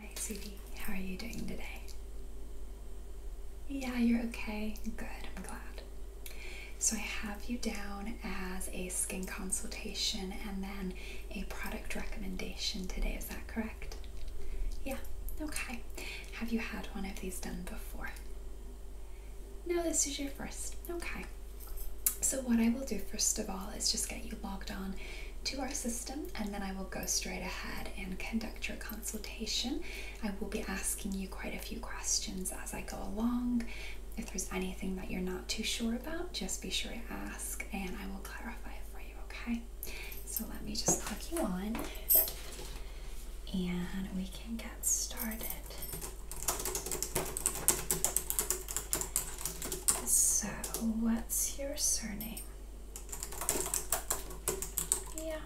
Hi, sweetie. How are you doing today? Yeah, you're okay. Good, I'm glad. So, I have you down as a skin consultation and then a product recommendation today. Is that correct? Yeah, okay. Have you had one of these done before? No, this is your first. Okay. So, what I will do first of all is just get you logged on to our system, and then I will go straight ahead and conduct your consultation. I will be asking you quite a few questions as I go along. If there's anything that you're not too sure about, just be sure to ask and I will clarify it for you, okay? So let me just plug you on and we can get started. So, what's your surname? Yeah.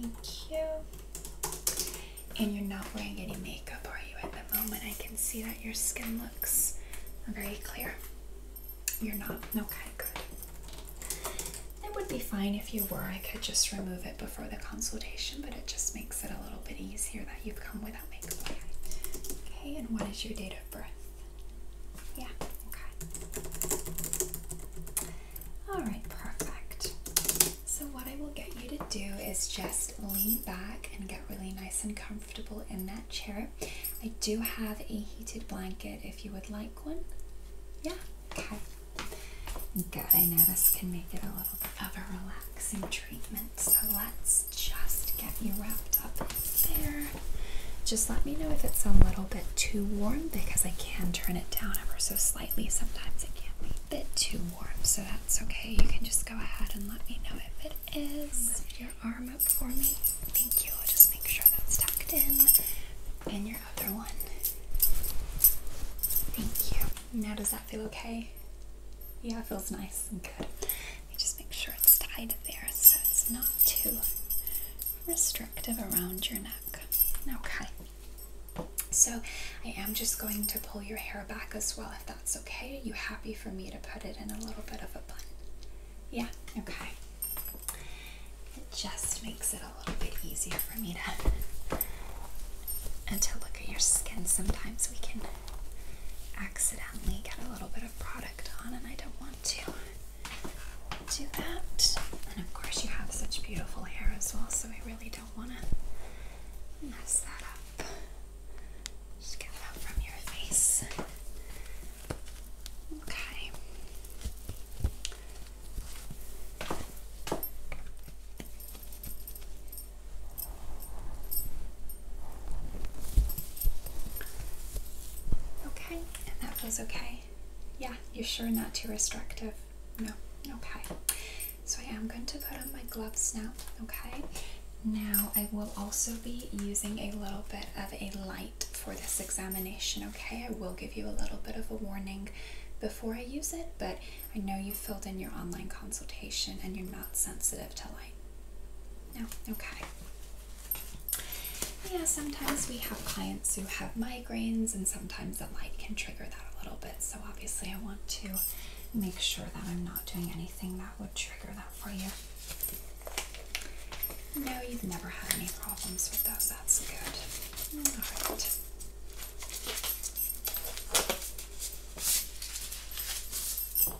Thank you. And you're not wearing any makeup, are you, at the moment? I can see that your skin looks very clear. You're not? Okay, good. It would be fine if you were. I could just remove it before the consultation, but it just makes it a little bit easier that you've come without makeup. Okay, and what is your date of birth? Yeah, okay. Alright, perfect. So, what I will get you to do is just lean back and get really nice and comfortable in that chair. I do have a heated blanket if you would like one. Yeah, okay. Good, I know this can make it a little bit of a relaxing treatment, so let's just get you wrapped up there. Just let me know if it's a little bit too warm because I can turn it down ever so slightly. Sometimes it can be a bit too warm, so that's okay. You can just go ahead and let me know if it is. Lift your arm up for me. Thank you. I'll just make sure that's tucked in. And your other one. Thank you. Now, does that feel okay? Yeah, it feels nice just make sure it's tied there so it's not too restrictive around your neck. Okay. So I am just going to pull your hair back as well if that's okay. Are you happy for me to put it in a little bit of a bun? Yeah, okay. It just makes it a little bit easier for me to to look at your skin. Sometimes we can accidentally get a a little bit of product on and I don't want to do that. And of course you have such beautiful hair as well, so we really don't want to mess that up. Just get that from your face. Okay. Okay, and that feels okay. Yeah, you're sure not too restrictive. No, okay. So I am going to put on my gloves now, okay? Now I will also be using a little bit of a light for this examination, okay? I will give you a little bit of a warning before I use it, but I know you filled in your online consultation and you're not sensitive to light. No? Oh, okay. Yeah, sometimes we have clients who have migraines, and sometimes the light can trigger that a little bit. So, obviously, I want to make sure that I'm not doing anything that would trigger that for you. No, you've never had any problems with those. That's good. All right. Okay,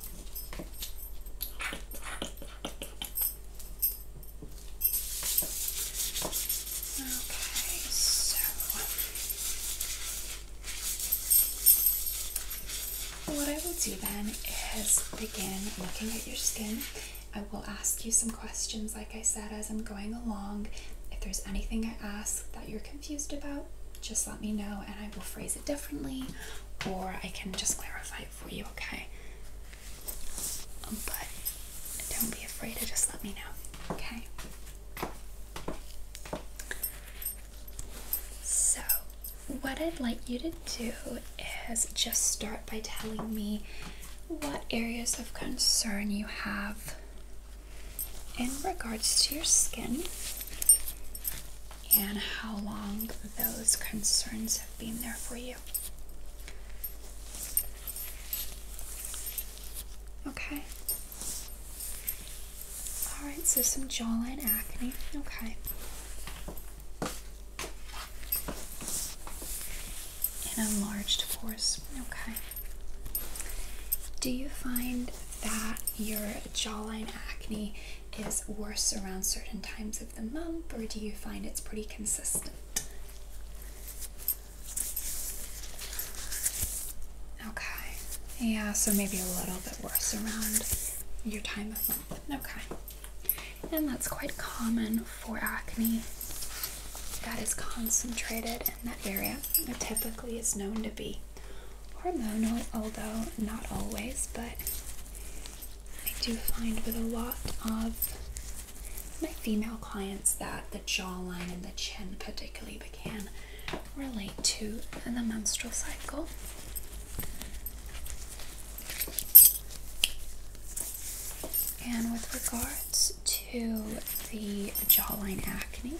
so what I will do then is begin looking at your skin. I will ask you some questions, like I said, as I'm going along. If there's anything I ask that you're confused about, just let me know and I will phrase it differently or I can just clarify it for you, okay? But don't be afraid to just let me know, okay? So, what I'd like you to do is just start by telling me what areas of concern you have in regards to your skin and how long those concerns have been there for you. Okay. Alright, so some jawline acne. Okay. An enlarged force. Okay. Do you find that your jawline acne is worse around certain times of the month, or do you find it's pretty consistent? Okay, yeah, so maybe a little bit worse around your time of month. Okay, and that's quite common for acne that is concentrated in that area. It typically is known to be hormonal, although not always, but I do find with a lot of my female clients that the jawline and the chin, particularly, but can relate to in the menstrual cycle. And with regards to the jawline acne,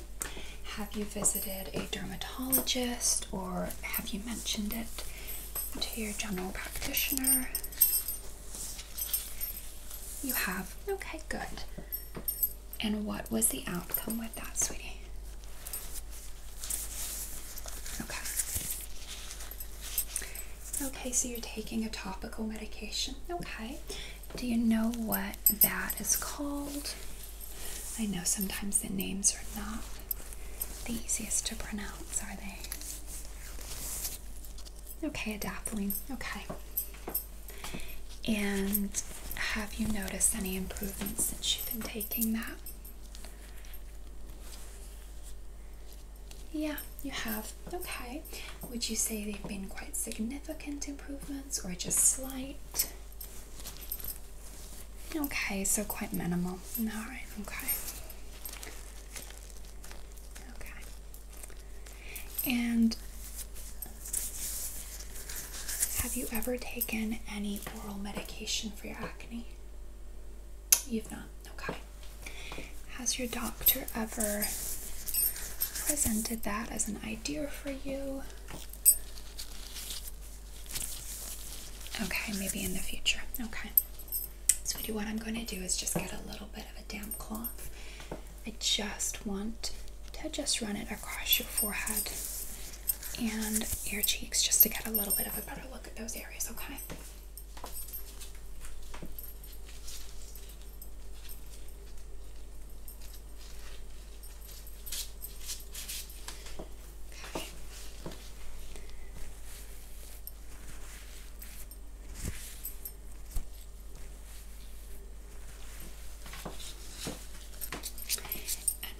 have you visited a dermatologist or have you mentioned it to your general practitioner? You have? Okay, good. And what was the outcome with that, sweetie? Okay. Okay, so you're taking a topical medication. Okay. Do you know what that is called? I know sometimes the names are not the easiest to pronounce, are they? Okay, adapalene. Okay. And have you noticed any improvements since you've been taking that? Yeah, you have. Okay. Would you say they've been quite significant improvements or just slight? Okay, so quite minimal. Alright, okay. Okay. And have you ever taken any oral medication for your acne? You've not? Okay. Has your doctor ever presented that as an idea for you? Okay, maybe in the future. Okay. So, what I'm going to do is just get a little bit of a damp cloth. I just want to just run it across your forehead and your cheeks just to get a little bit of a better look at those areas, okay?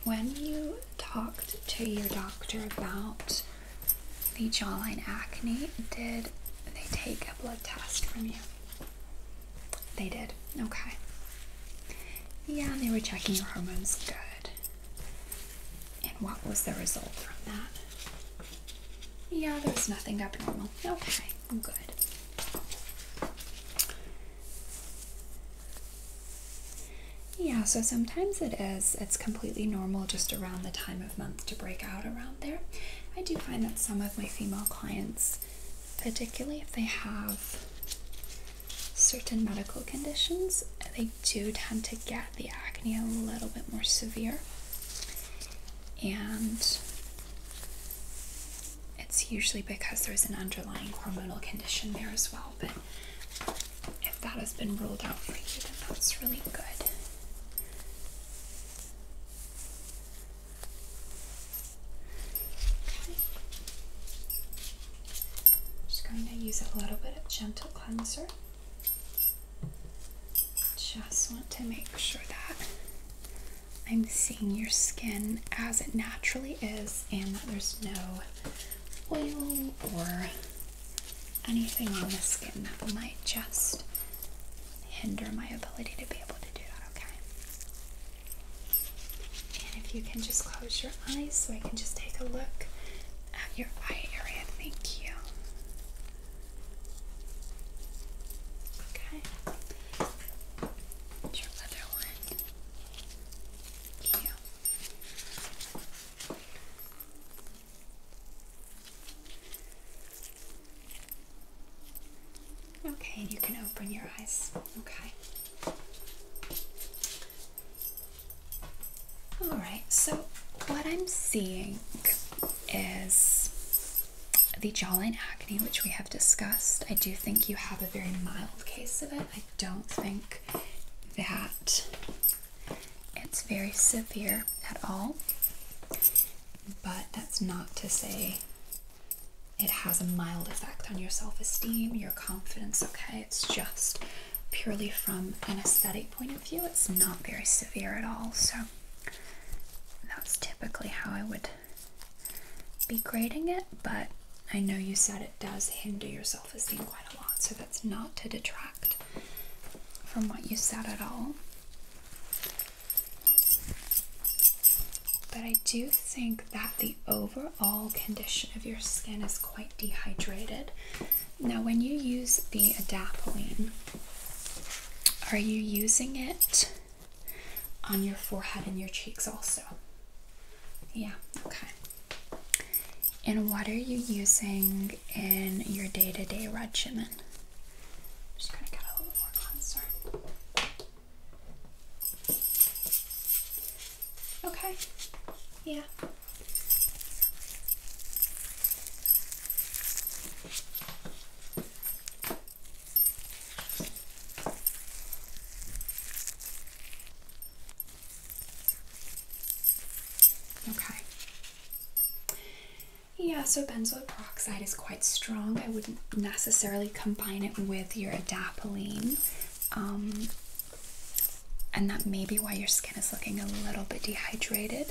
when you talked to your doctor about the jawline acne, did they take a blood test from you? They did. Okay. Yeah, they were checking your hormones good. And what was the result from that? Yeah, there was nothing abnormal. Okay, good. Yeah, so sometimes it is, it's completely normal just around the time of month to break out around there. I do find that some of my female clients, particularly if they have certain medical conditions, they do tend to get the acne a little bit more severe. And it's usually because there's an underlying hormonal condition there as well. But if that has been ruled out for you, then that's really good. I'm just going to use a little bit of gentle cleanser. Just want to make sure that I'm seeing your skin as it naturally is and that there's no oil or anything on the skin that might just hinder my ability to be able to do that, okay? And if you can just close your eyes so I can just take a look at your eye area. Thank you. Okay. your other one. Thank you. Okay, you can open your eyes. Okay. All right, so what I'm seeing is the jawline acne, which we have discussed. I do think you have a very mild case of it. I don't think that it's very severe at all, but that's not to say it has a mild effect on your self esteem, your confidence, okay? It's just purely from an aesthetic point of view, it's not very severe at all. So that's typically how I would be grading it, but I know you said it does hinder your self esteem quite a lot, so that's not to detract from what you said at all. But I do think that the overall all condition of your skin is quite dehydrated. Now, when you use the adapalene, are you using it on your forehead and your cheeks also? Yeah, okay. And what are you using in your day to day regimen? just gonna get a little more cleanser. Okay. Yeah. Okay. Yeah, so benzoyl peroxide is quite strong. I wouldn't necessarily combine it with your adapalene. Um, and that may be why your skin is looking a little bit dehydrated.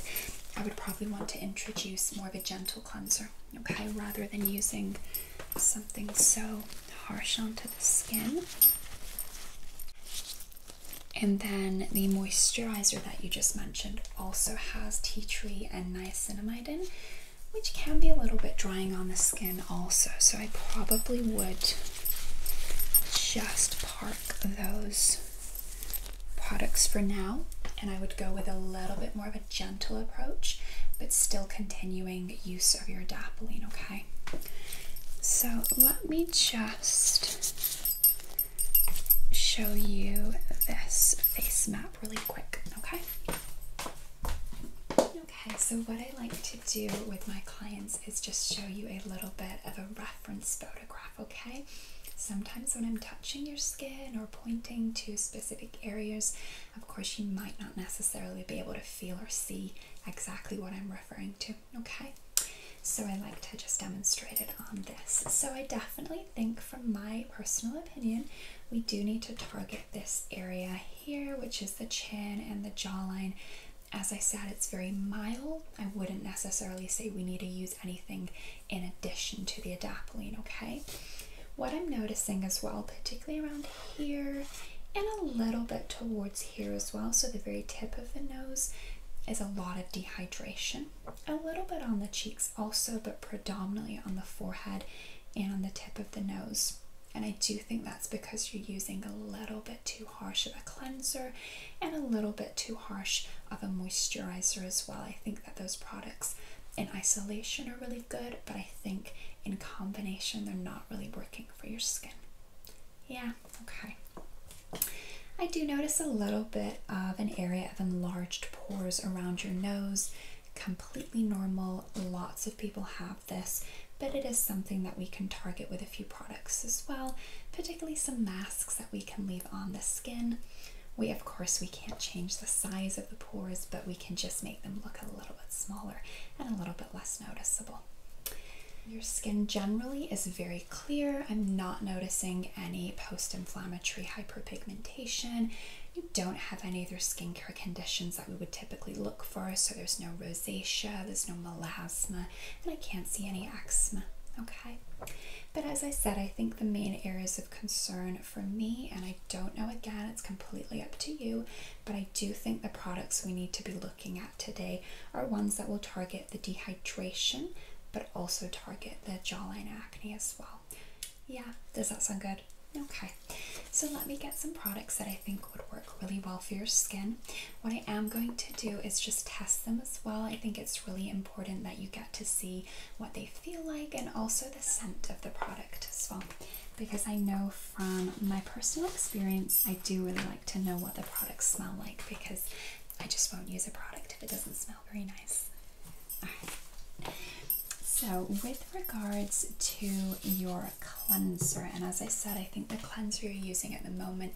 I would probably want to introduce more of a gentle cleanser, okay, rather than using something so harsh onto the skin. And then the moisturizer that you just mentioned also has tea tree and niacinamide in, which can be a little bit drying on the skin also. So I probably would just park those products for now and I would go with a little bit more of a gentle approach but still continuing use of your Dappling. okay? So let me just show you this face map really quick, okay? Okay, so what I like to do with my clients is just show you a little bit of a reference photograph, okay? Sometimes when I'm touching your skin or pointing to specific areas, of course, you might not necessarily be able to feel or see exactly what I'm referring to, okay? So I like to just demonstrate it on this. So I definitely think, from my personal opinion, we do need to target this area here, which is the chin and the jawline. As I said, it's very mild. I wouldn't necessarily say we need to use anything in addition to the adapalene, okay? What I'm noticing as well, particularly around here and a little bit towards here as well, so the very tip of the nose, is a lot of dehydration. A little bit on the cheeks also, but predominantly on the forehead and on the tip of the nose. And I do think that's because you're using a little bit too harsh of a cleanser and a little bit too harsh of a moisturizer as well. I think that those products in isolation are really good, but I think in combination they're not really working for your skin. Yeah, okay. I do notice a little bit of an area of enlarged pores around your nose. Completely normal. Lots of people have this, but it is something that we can target with a few products as well, particularly some masks that we can leave on the skin. We, of course, we can't change the size of the pores, but we can just make them look a little bit smaller and a little bit less noticeable. Your skin generally is very clear. I'm not noticing any post-inflammatory hyperpigmentation. You don't have any other skincare conditions that we would typically look for. So there's no rosacea, there's no melasma, and I can't see any eczema. Okay, but as I said, I think the main areas of concern for me, and I don't know again, it's completely up to you, but I do think the products we need to be looking at today are ones that will target the dehydration but also target the jawline acne as well. Yeah, does that sound good? Okay, so let me get some products that I think would work really well for your skin. What I am going to do is just test them as well. I think it's really important that you get to see what they feel like and also the scent of the product as well. Because I know from my personal experience, I do really like to know what the products smell like because I just won't use a product if it doesn't smell very nice. So, with regards to your cleanser, and as I said, I think the cleanser you're using at the moment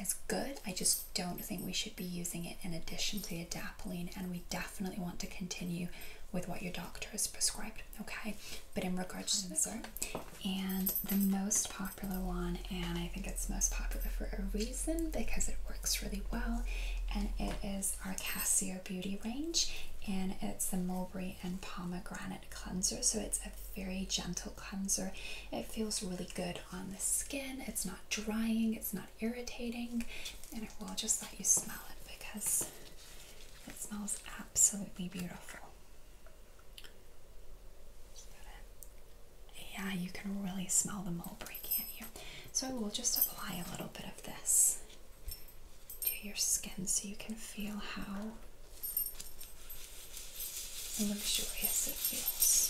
is good. I just don't think we should be using it in addition to the adapalene, and we definitely want to continue with what your doctor has prescribed, okay? But in regards to the cleanser, and the most popular one, and I think it's most popular for a reason because it works really well, and it is our Casio Beauty range, and it's the mulberry and pomegranate cleanser. So it's a very gentle cleanser. It feels really good on the skin. It's not drying, it's not irritating. And I will just let you smell it because it smells absolutely beautiful. Yeah, you can really smell the mulberry, can't you? So I will just apply a little bit of this to your skin so you can feel how luxurious it feels.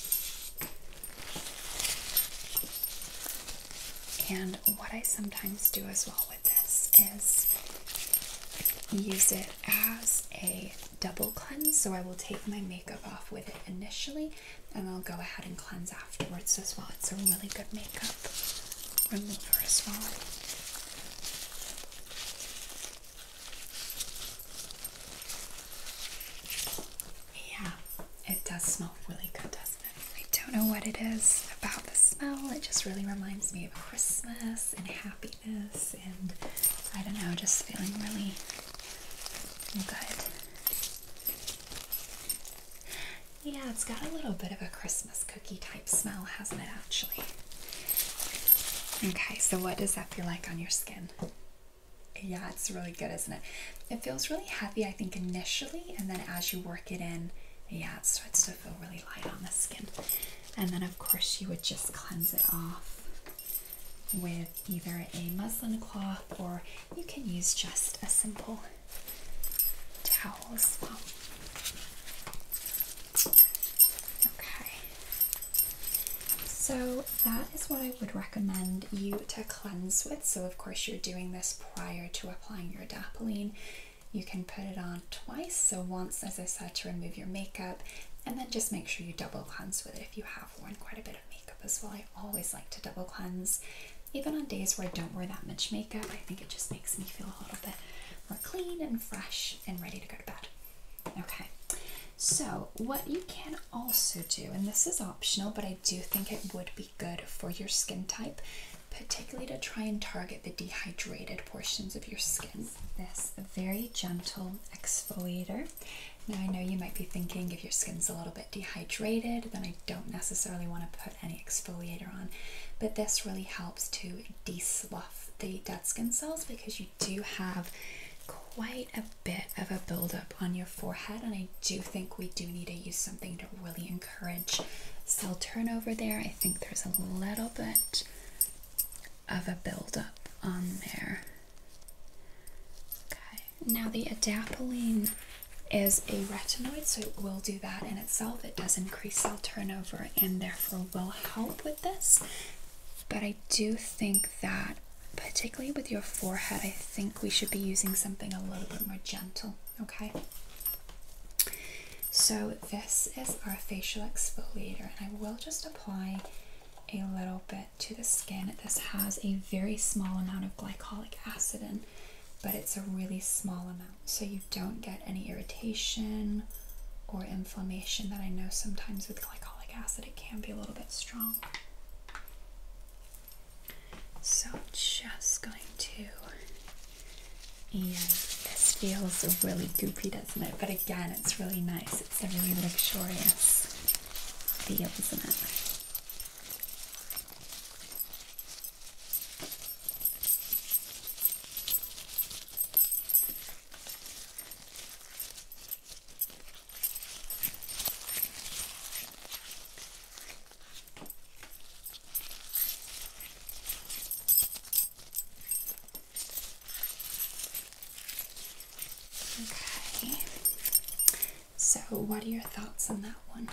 And what I sometimes do as well with this is use it as a double cleanse. So I will take my makeup off with it initially and I'll go ahead and cleanse afterwards as well it's a really good makeup remover as well. Yeah, it does smell really good, doesn't it? I don't know what it is about the smell, it just really reminds me of Christmas and happiness, and I don't know, just feeling really good. Yeah, it's got a little bit of a Christmas cookie type smell, hasn't it, actually? Okay, so what does that feel like on your skin? Yeah, it's really good, isn't it? It feels really heavy, I think, initially, and then as you work it in, yeah, it starts to feel really light on the skin. And then, of course, you would just cleanse it off with either a muslin cloth or you can use just a simple towels. okay. So that is what I would recommend you to cleanse with. So of course you're doing this prior to applying your Dappling. You can put it on twice. So once, as I said, to remove your makeup and then just make sure you double cleanse with it if you have worn quite a bit of makeup as well. I always like to double cleanse. Even on days where I don't wear that much makeup, I think it just makes me feel a little bit more clean and fresh and ready to go to bed. Okay, so what you can also do, and this is optional, but I do think it would be good for your skin type, particularly to try and target the dehydrated portions of your skin. This very gentle exfoliator. Now, I know you might be thinking if your skin's a little bit dehydrated, then I don't necessarily want to put any exfoliator on, but this really helps to de-slough the dead skin cells because you do have quite a bit of a buildup on your forehead, and I do think we do need to use something to really encourage cell turnover there. I think there's a little bit of a buildup on there. Okay, now the adapalene is a retinoid, so it will do that in itself. It does increase cell turnover and therefore will help with this. But I do think that, particularly with your forehead, I think we should be using something a little bit more gentle, okay? So, this is our facial exfoliator, and I will just apply a little bit to the skin. This has a very small amount of glycolic acid in but it's a really small amount, so you don't get any irritation or inflammation that I know sometimes with glycolic acid it can be a little bit strong. So, just going to, and this feels really goopy, doesn't it? But again, it's really nice, it's a really luxurious feel, isn't it? Okay. So, what are your thoughts on that one?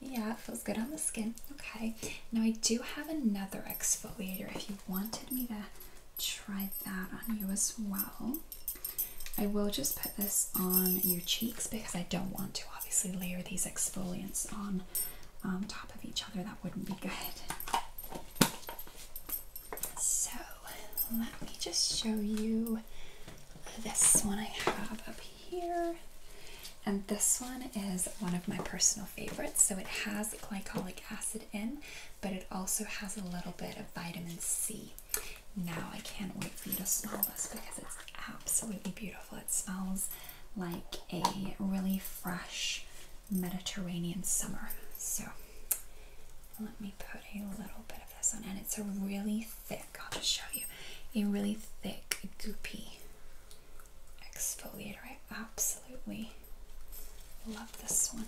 Yeah, it feels good on the skin. Okay, now I do have another exfoliator if you wanted me to try that on you as well. I will just put this on your cheeks because I don't want to obviously layer these exfoliants on um, top of each other. That wouldn't be good. So let me just show you this one I have up here here. And this one is one of my personal favorites. So it has glycolic acid in, but it also has a little bit of vitamin C. Now I can't wait for you to smell this because it's absolutely beautiful. It smells like a really fresh Mediterranean summer. So let me put a little bit of this on, and it's a really thick. I'll just show you, a really thick, goopy exfoliator. I absolutely love this one.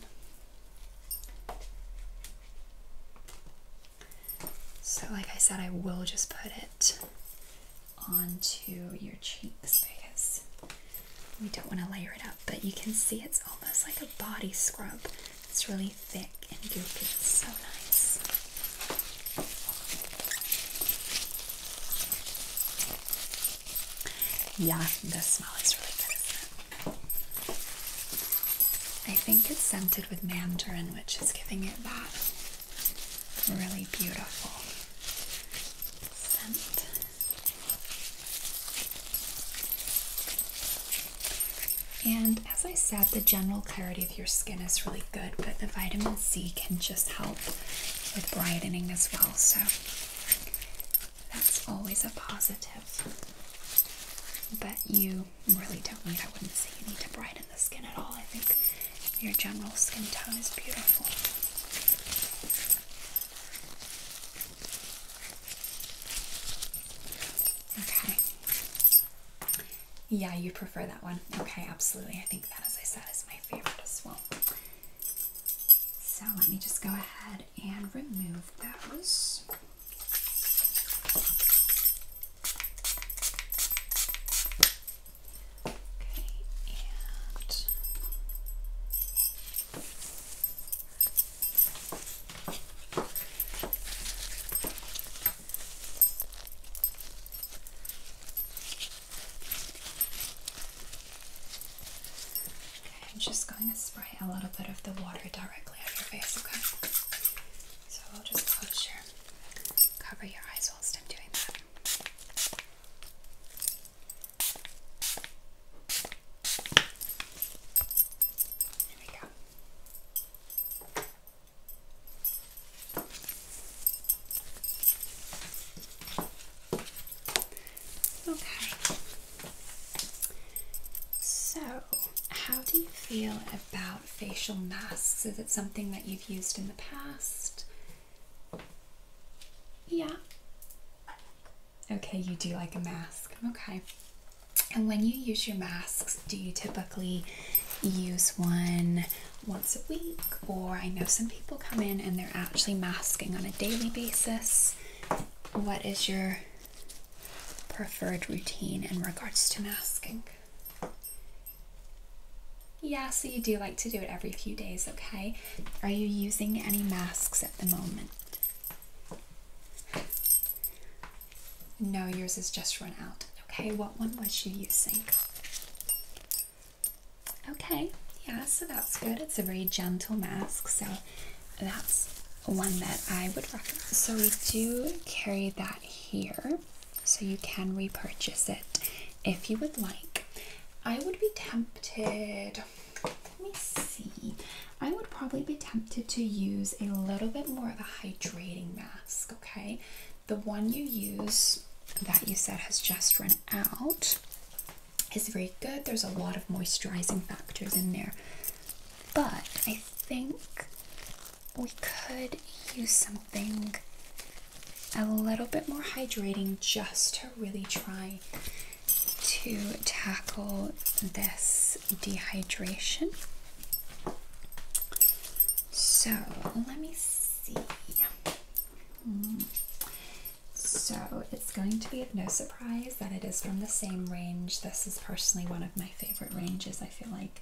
So, like I said, I will just put it onto your cheeks because we don't want to layer it up, but you can see it's almost like a body scrub. It's really thick and guilty. It's so nice. Yeah, the smell is really good, I think it's scented with mandarin, which is giving it that really beautiful scent. And as I said, the general clarity of your skin is really good, but the vitamin C can just help with brightening as well. So that's always a positive. But you really don't need, I wouldn't say you need to brighten the skin at all. I think your general skin tone is beautiful. Okay. Yeah, you prefer that one. Okay, absolutely. I think that, as I said, is my favorite as well. So let me just go ahead and remove those. Okay, and I'm just going to spray a little bit of the water directly on your face, okay? So we'll just close your, cover your eyes whilst I'm doing that. There we go. Okay. So, how do you feel about facial masks? Is it something that you've used in the past? Yeah. Okay, you do like a mask. Okay. And when you use your masks, do you typically use one once a week, or I know some people come in and they're actually masking on a daily basis. What is your preferred routine in regards to masking? Yeah, so you do like to do it every few days, okay? Are you using any masks at the moment? No, yours has just run out. Okay, what one was you using? Okay, yeah, so that's good. It's a very gentle mask, so that's one that I would recommend. So we do carry that here, so you can repurchase it if you would like. I would be tempted, let me see, I would probably be tempted to use a little bit more of a hydrating mask, okay? The one you use that you said has just run out is very good. There's a lot of moisturizing factors in there, but I think we could use something a little bit more hydrating just to really try to tackle this dehydration. So let me see. So it's going to be no surprise that it is from the same range. This is personally one of my favorite ranges. I feel like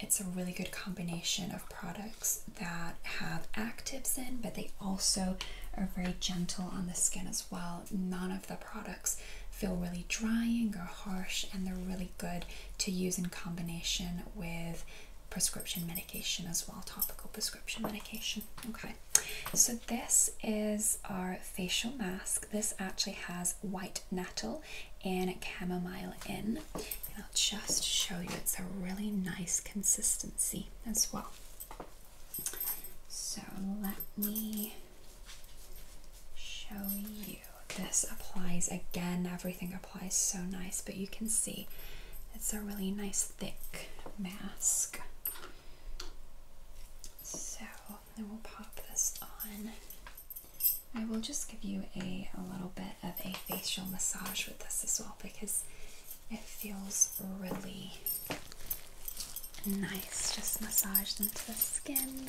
it's a really good combination of products that have actives in, but they also are very gentle on the skin as well. None of the products feel really drying or harsh, and they're really good to use in combination with prescription medication as well, topical prescription medication. Okay, so this is our facial mask. This actually has white nettle and chamomile in. I'll just show you it's a really nice consistency as well. So let me show you this applies again everything applies so nice but you can see it's a really nice thick mask so then will pop this on I will just give you a, a little bit of a facial massage with this as well because it feels really nice just massage into the skin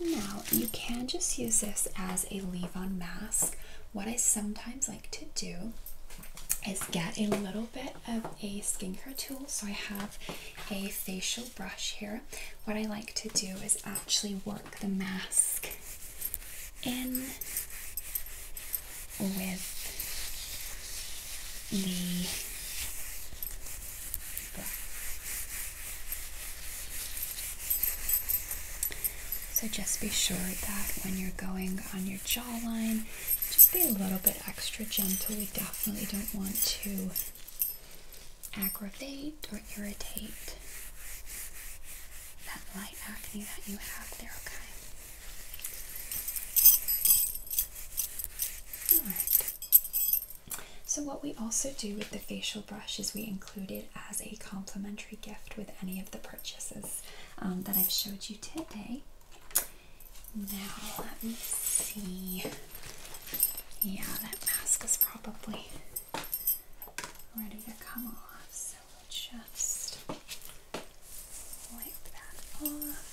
Now you can just use this as a leave-on mask. What I sometimes like to do is get a little bit of a skincare tool. So I have a facial brush here. What I like to do is actually work the mask in with the brush. So just be sure that when you're going on your jawline, just be a little bit extra gentle. We definitely don't want to aggravate or irritate that light acne that you have there, okay? Alright. So what we also do with the facial brush is we include it as a complimentary gift with any of the purchases. Um, that I've showed you today. Now, let me see. Yeah, that mask is probably ready to come off, so we'll just wipe that off.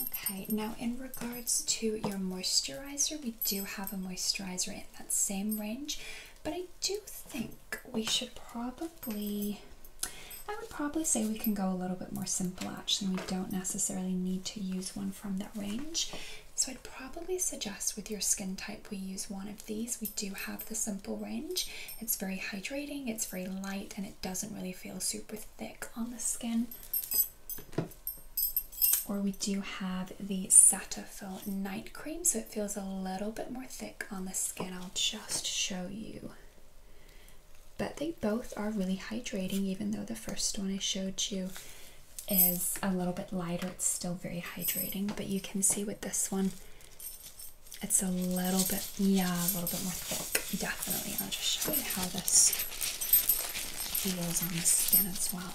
Okay, now in regards to your moisturizer, we do have a moisturizer in that same range, but I do think we should probably, I would probably say we can go a little bit more simple actually. We don't necessarily need to use one from that range. So I'd probably suggest with your skin type we use one of these, we do have the Simple range. It's very hydrating, it's very light, and it doesn't really feel super thick on the skin. Or we do have the Satafil Night Cream, so it feels a little bit more thick on the skin. I'll just show you. But they both are really hydrating, even though the first one I showed you is a little bit lighter. It's still very hydrating, but you can see with this one, it's a little bit, yeah, a little bit more thick, definitely. I'll just show you how this feels on the skin as well.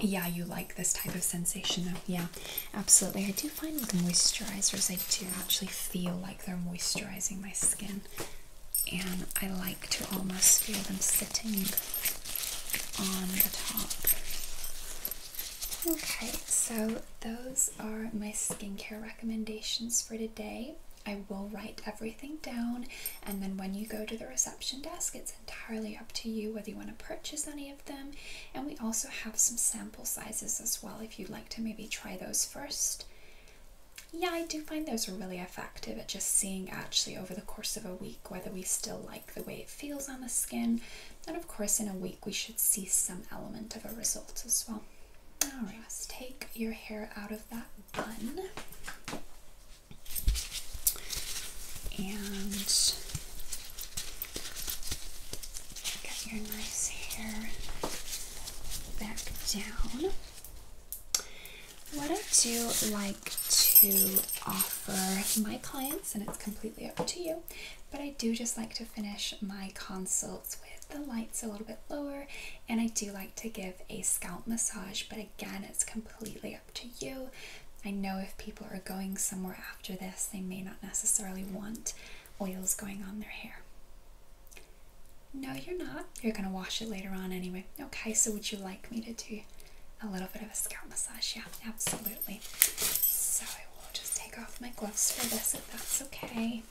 Yeah, you like this type of sensation though. Yeah, absolutely. I do find with moisturizers, I do actually feel like they're moisturizing my skin. And I like to almost feel them sitting on the top. Okay, so those are my skincare recommendations for today. I will write everything down, and then when you go to the reception desk, it's entirely up to you whether you want to purchase any of them. And we also have some sample sizes as well if you'd like to maybe try those first. Yeah, I do find those are really effective at just seeing actually over the course of a week whether we still like the way it feels on the skin. And of course, in a week, we should see some element of a result as well. All right, let's take your hair out of that bun. And get your nice hair back down. What I do like to offer my clients, and it's completely up to you, but I do just like to finish my consults with the lights a little bit lower, and I do like to give a scalp massage, but again, it's completely up to you. I know if people are going somewhere after this, they may not necessarily want oils going on their hair. No, you're not. You're going to wash it later on anyway. Okay, so would you like me to do a little bit of a scalp massage. Yeah, absolutely. So I will just take off my gloves for this if that's okay.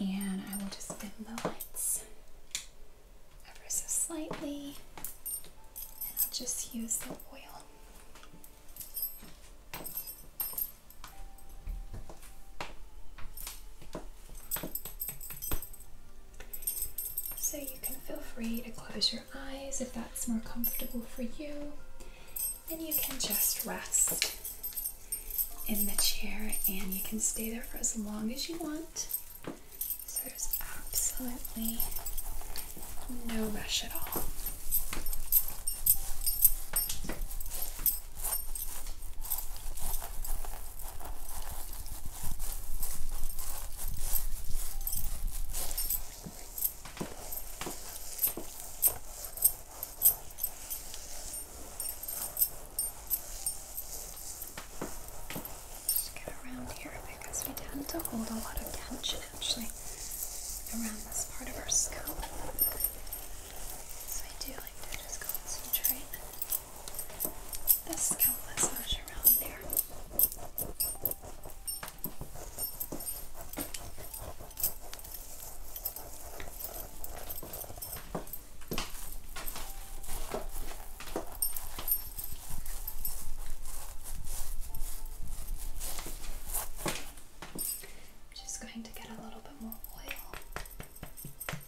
And I will just dim the lights ever so slightly. And I'll just use the oil. So you can feel free to close your eyes if that's more comfortable for you. And you can just rest in the chair and you can stay there for as long as you want. there's absolutely no rush at all. Just get around here because we tend to hold a lot of tension actually around this part of our scalp. So I do like to just concentrate the scalp massage around there. I'm just going to get a little bit more oil.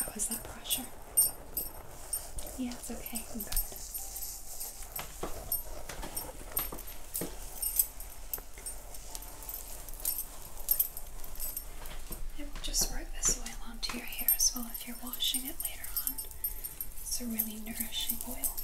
How is that pressure? Yeah, it's okay. I'm good. I will just work this oil onto your hair as well if you're washing it later on. It's a really nourishing oil.